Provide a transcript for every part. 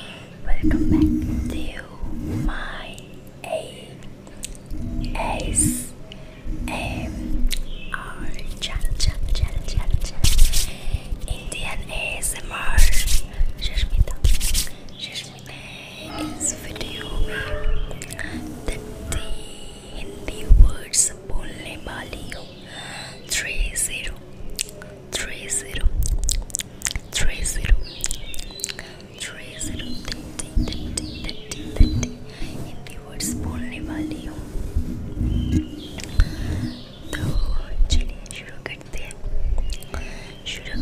welcome back to my A S M R channel channel channel channel channel Indian ASMR Shashmita Shashmita in this video the Hindi words बोलने वाली हूँ three three zero three zero three zero thirty thirty thirty thirty in the words only value तो चलिए शुरू करते हैं शुरू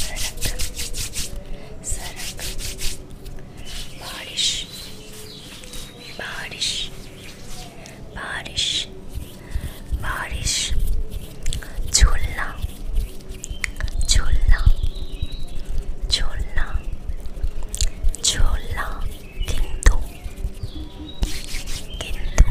सरक सरक बारिश बारिश बारिश बारिश झूलना झूलना झूलना झूलना किंतु किंतु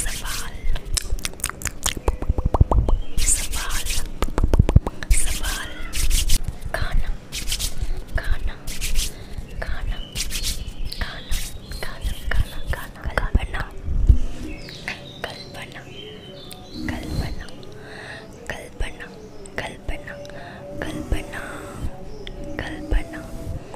Saval. Saval. Saval. Ghana. Ghana. Ghana. Ghana. Ghana. Ghana. Ghana. Kalpana. Kalpana. Kalpana. Kalpana. Kalpana. Kalpana. Kalpana. Kalpana.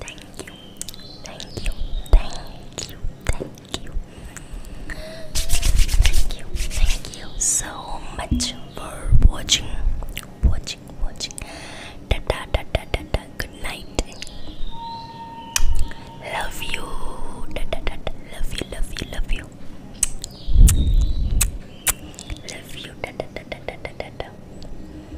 Thank you. Thank you. Thank you. Thank you. Thank you. Thank you so much for watching. Watching. Watching. Da da da da da da. Good night. Love you. Da da da da. Love you. Love you. Love you. Love you. Da da da da da da da.